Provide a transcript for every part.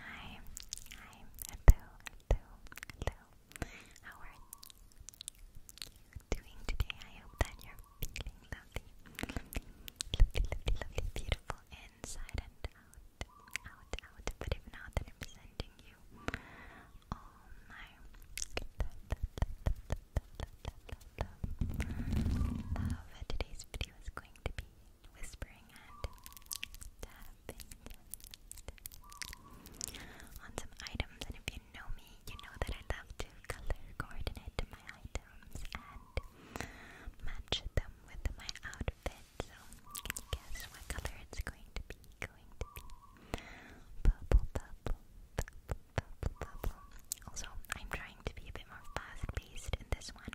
Hi, hi, hello, hello, hello. How are you doing today? I hope that you're feeling lovely, lovely, lovely, beautiful inside and out, out, out. But if not, then I'm sending you all my love. Today's video is going to be whispering and on some items. And if you know me, you know that I love to color coordinate my items and match them with my outfit. So, can you guess what color it's going to be? Going to be purple, purple, purple, purple, purple. Also, I'm trying to be a bit more fast-paced in this one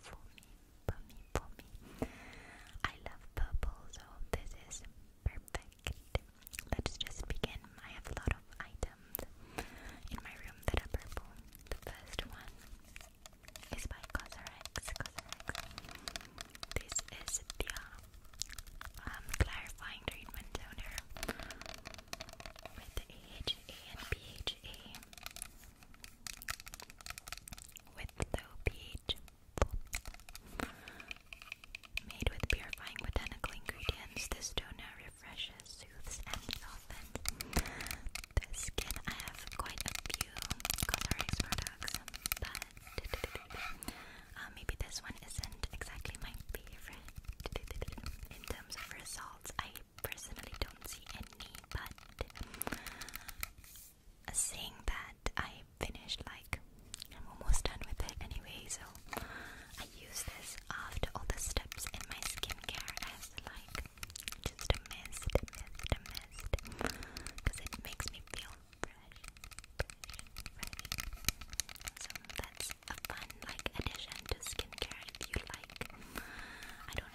for me, for me, for me. I love purple, so this is perfect. Let's just begin. I have a lot of items in my room that are purple. The first one is by Cosrx. This is the um, clarifying treatment toner with the and BHA with low pH Made with purifying botanical ingredients, this toner refreshes, soothes, and softens the skin. I have quite a few Cosrx products, but uh, maybe this one isn't exactly my favorite in terms of results. I personally don't see any, but seeing that I finished, like, I'm almost done with it anyway, so I use this after all the steps in my skincare as, like, just a mist, a a mist, because it makes me feel fresh. So that's a fun, like, addition to skincare if you like. I don't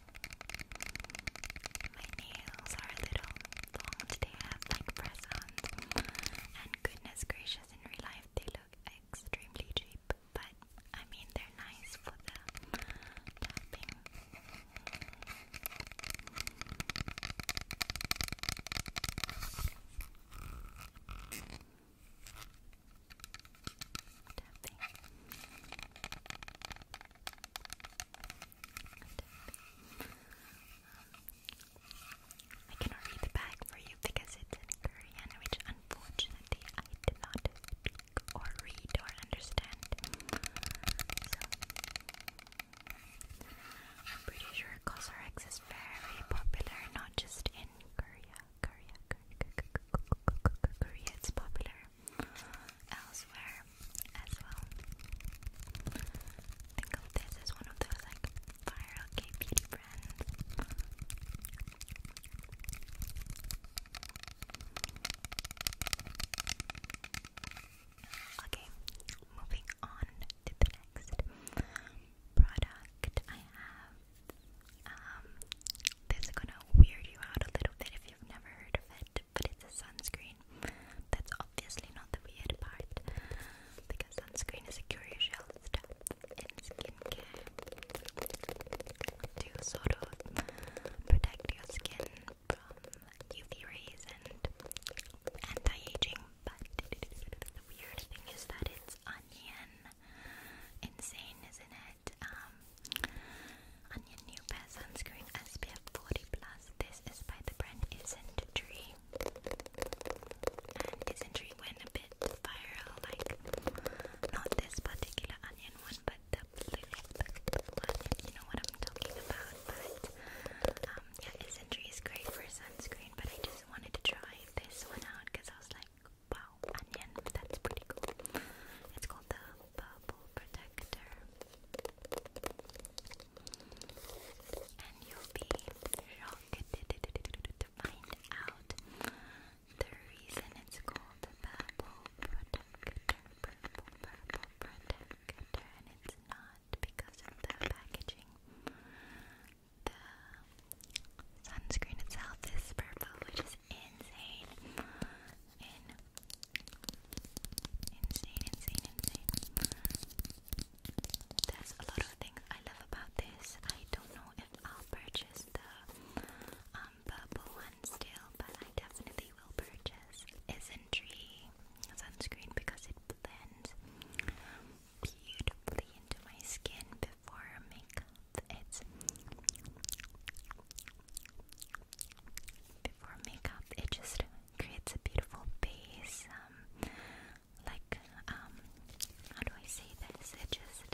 My nails are a little long today. have like press ons, and goodness gracious, in real life they look extremely cheap, but I mean they're nice for the tapping. I can read the back for you because it's in Korean, which unfortunately I did not speak or read or understand. I'm pretty sure CosRx is very popular, not just in Korea. Korea, Korea, Korea, Korea it's popular elsewhere as well. Think of this as one of those like viral gay beauty brands. Okay, moving on to the next product I have. Um, this is gonna weird you out a little bit if you've never heard of it, but it's a sunscreen. That's obviously not the weird part, because sunscreen is a curious shell stuff in skincare to sort of protect your skin from UV rays and anti-aging. But the weird thing is that it's onion. Insane, isn't it? Um, on new pair sunscreen SPF 40 plus. This is by the brand Isn't Tree. And Isn't Tree went a bit viral, like not this particular onion one, but the blue, the You know what I'm talking about. But um, yeah, is Tree is great for sunscreen. But I just wanted to try this one out because I was like, wow onion. That's pretty cool. It's called the bubble protector, and you'll be shocked to find out the reason it's called the bubble protector. Purple, purple protector, and it's not because of the packaging. The sunscreen itself is purple, which is insane. In insane, insane, insane. There's a lot of things I love about this. I don't know if I'll purchase the um, purple one still, but I definitely will purchase Isentry sunscreen because it blends beautifully into my skin before makeup it's before makeup, it just creates a beautiful base. Um, like, um, how do I say this? It just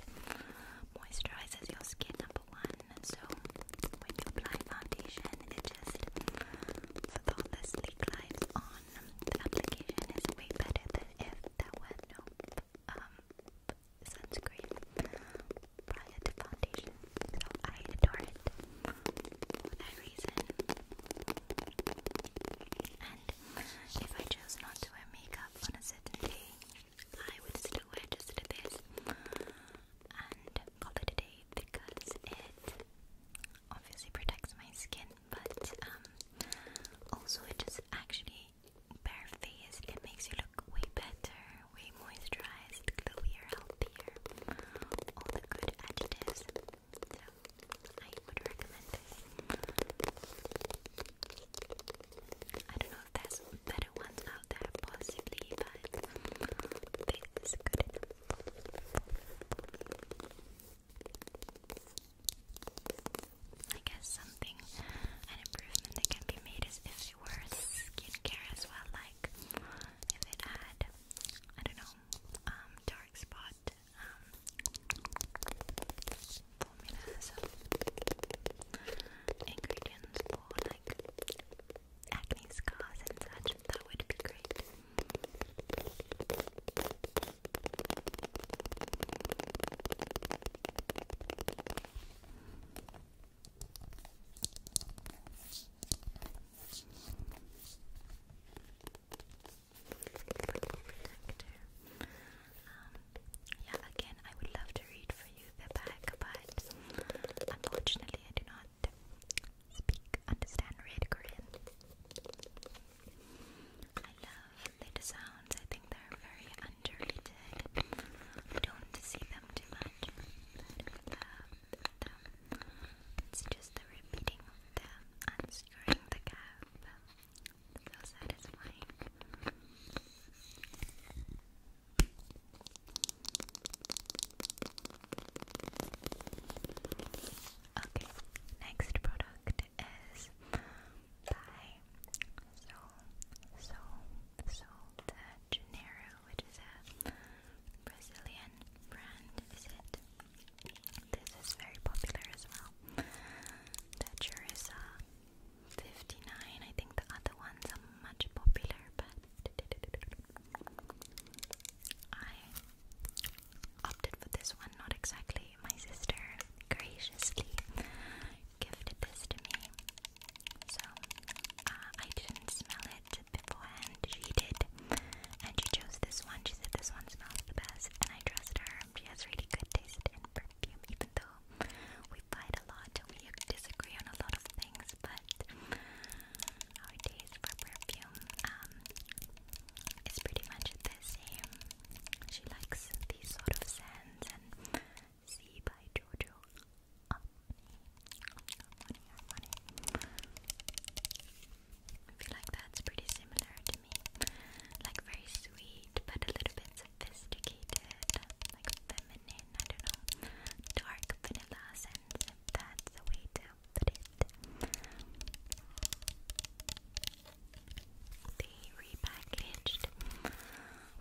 moisturizes your skin, number one. So, when you apply foundation, it just flawlessly glides on. The application is way better than if there were um, sunscreen prior to foundation, I adore it for that reason. And if I chose not to wear makeup on a certain day, I would still wear just a bit and call it day because it obviously protects my skin, but um, also it just actually bare face and it makes you look way better, way moisturized, glowier, healthier, all the good adjectives. So I would recommend this. I don't know if there's better ones out there, possibly, but this is good enough. I guess something, an improvement that can be made is if much skincare as well. Like if it had, I don't know, um, dark spot um, formulas ingredients for like acne scars and such. That would be great protector. Um, yeah, again, I would love to read for you the back, but unfortunately, I do not speak, understand, read Korean. I love the sounds. I think they're very underrated. I don't see them too much, It's just the repeating them, unscrewing the cap. So satisfying. Okay, next product is by So So Sol de which is a Brazilian brand, is it? This is very popular as well. The Churisa 59, I think the other ones are much popular, but I opted for this one, not exactly. My sister graciously gifted this to me. So, uh, I didn't smell it beforehand, she did. And she chose this one. She said this one smells the best, and I trust her. She has really good taste in perfume, even though we fight a lot and we disagree on a lot of things, but our taste for perfume um, is pretty much the same. She likes these sort of scents See by Jojo. I feel like that's pretty similar to me. Like very sweet, but a little bit sophisticated, like feminine, I don't know. Dark vanilla sense, that's the way to put it. They repackaged,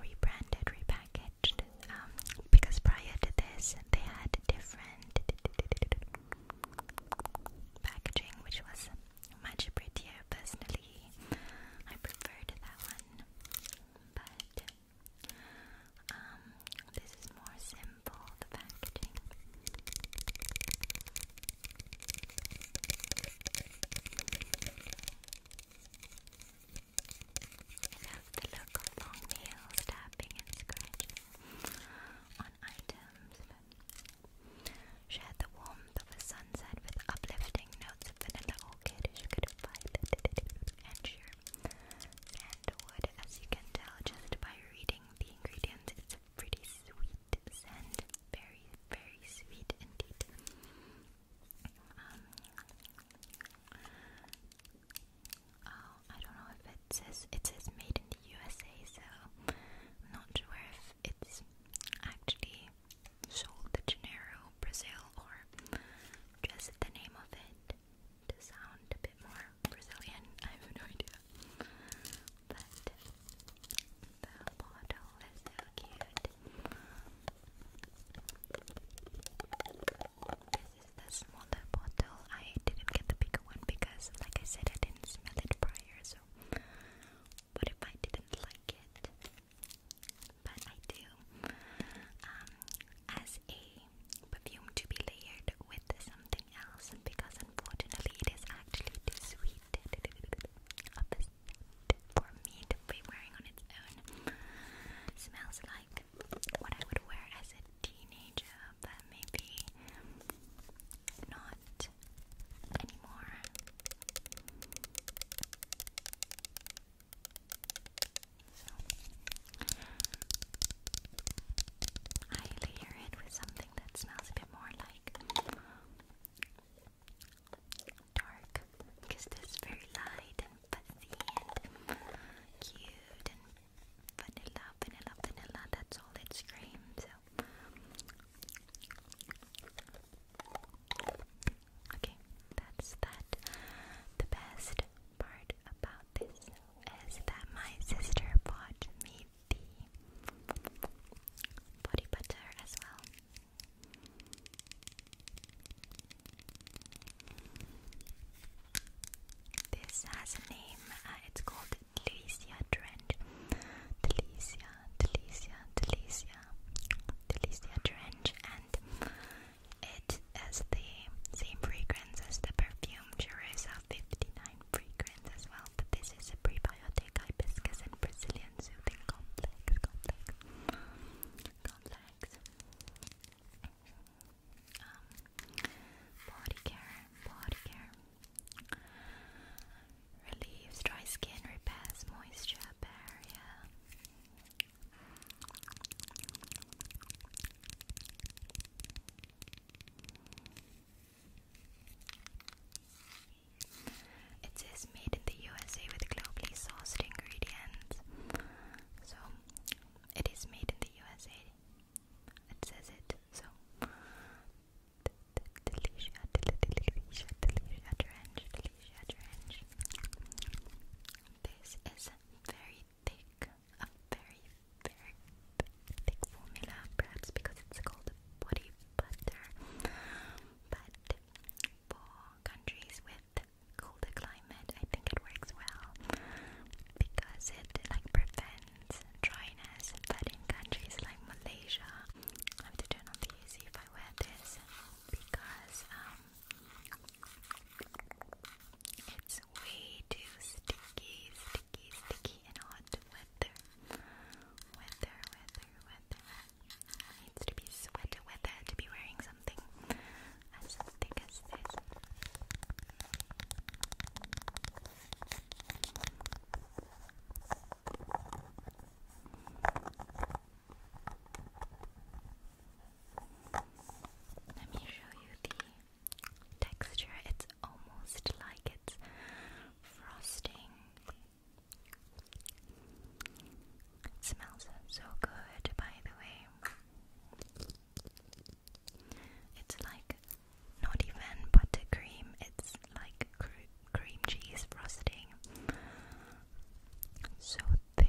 rebranded, repackaged switched um, because prior to this they had different packaging, which was much prettier. Personally, I preferred that one, but um, this is more simple. The packaging love the look of long nails tapping and scratching on items. Share the warmth of a sunset with uplifting notes of vanilla orchid, sugar, and wood. As you can tell just by reading the ingredients, it's a pretty sweet scent. Very, very sweet indeed. Um, oh, I don't know if it says it says made in the USA, so I'm not sure if it's actually sold to Janeiro, Brazil, or just the name of it to sound a bit more Brazilian. I have no idea, but the bottle is so cute. This is the smaller bottle. I didn't get the bigger one because, like I said, I didn't smell it prior. So, what if I didn't like it? But I do. Um, as a perfume to be layered with something else, because unfortunately it is actually too sweet. for me to be wearing on its own. Smells like what I would wear as a teenager, but maybe not anymore. So, I layer it with something that smells a bit more like dark because this is very light and fuzzy and cute and vanilla, vanilla, vanilla. That's all it screams. So. Okay, that's that. The best part about this is that my sister bought me the body butter as well. This has a name, uh, it's called Delicia Drench. Delicia, Delicia, Delicia, Delicia Trench, and it has the same fragrance as the perfume Jerusa 59 fragrance as well, but this is a prebiotic hibiscus and Brazilian soothing complex complex. Um, body care, body care. Relieves dry skin, repairs moisture barrier. It says made in the USA with globally sourced ingredients. So it is made in the USA. It says it. So This is very thick, a very, very thick formula, perhaps because it's called body butter. But for countries with colder climate, I think it works well because it like prevents dryness. But in countries like Malaysia, I have to turn off the AC if I wear this because um, it's way too sticky, sticky, sticky and hot weather, weather, weather, weather. Needs to be sweater weather to be wearing something as thick as this. Let me show you the texture. It's almost like it's frosting it smells so good, by the way. It's like not even buttercream, it's like cream cheese frosting. So thick.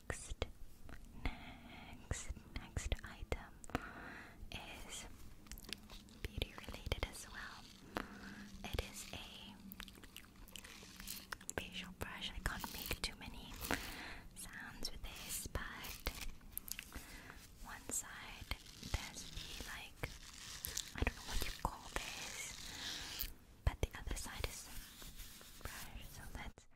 next, next, next item is beauty related as well. It is a facial brush. I can't make too many sounds with this, but one side there's the like I don't know what you call this, but the other side is brush. So let's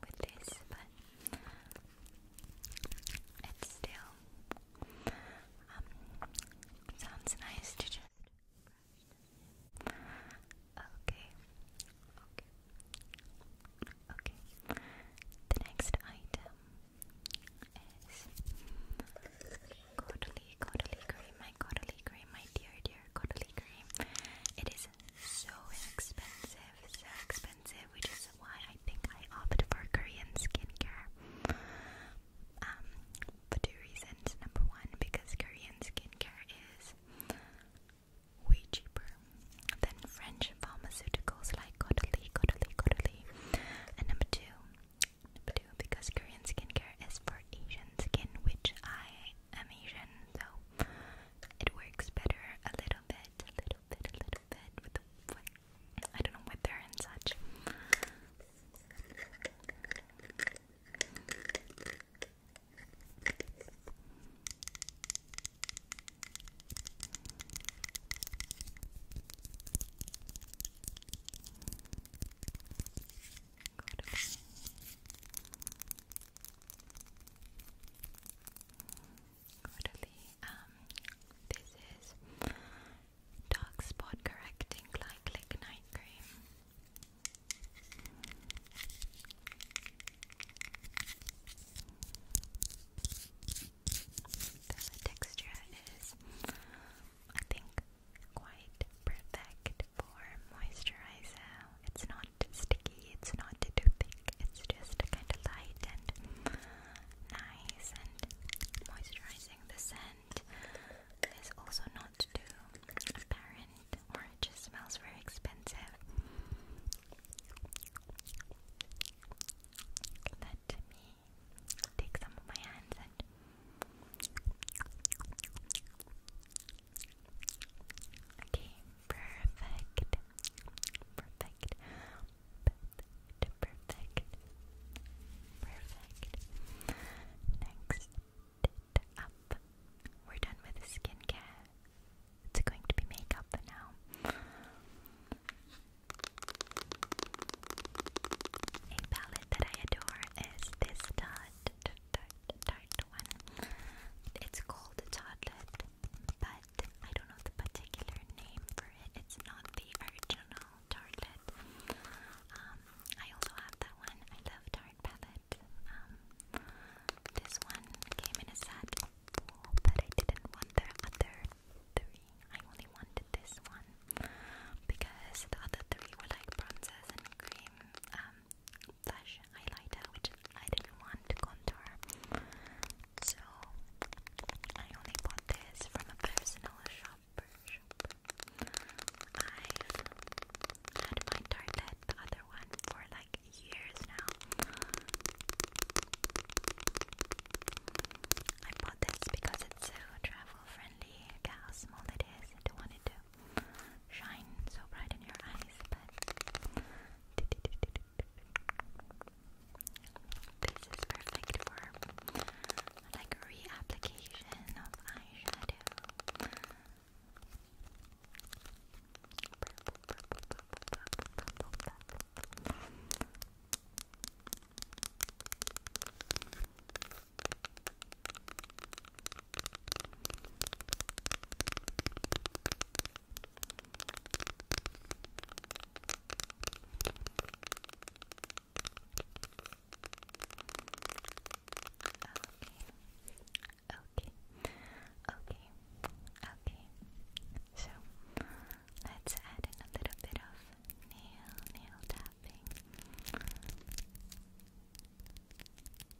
with this, but it still um, sounds nice to just Okay, okay, okay. The next item is Caudalie, Caudalie cream, my Caudalie cream, my dear, dear Caudalie cream. It is so expensive, so expensive, which is why I think I opted for Korean skincare. Um, for two reasons. Number one, because Korean skincare is way cheaper than French pharmaceuticals like Caudalie, Caudalie, Caudalie. And number two, number two, because Korean skincare is for Asian skin, which I am Asian, so it works better a little bit, a little bit, a little bit with the with, and such. Good. Quarterly. Um, this is dark spot correcting like lignite cream. The texture is, I think, quite perfect for moisturizer it's not sticky, it's not too thick, it's just kind of light and nice and moisturizing. The scent is also not too apparent or it just smells very expensive. Let me take some of my hands and Okay, perfect. Perfect. Perfect. Perfect. Next up. We're done with the skincare. It's going to be makeup now. A palette that I adore is this Tarte, Tarte, Tarte one. It's called Toddlet but I don't know the particular name for it. It's not the original tartlet. Um, I also have that one. I love tart palette. Um, this one came in a set, but I didn't want the other three. I only wanted this one because the other three were like bronzes and cream, um, flash highlighter, which I didn't want contour. So I only bought this from a personal shopper. i had my Target, the other one, for like years now. I bought this because it's so travel friendly. Look how small it is. I don't want it to shine so bright in your eyes, but this is perfect for like reapplication of eyeshadow. Okay. Okay. Okay. So let's add in a little bit of nail nail tapping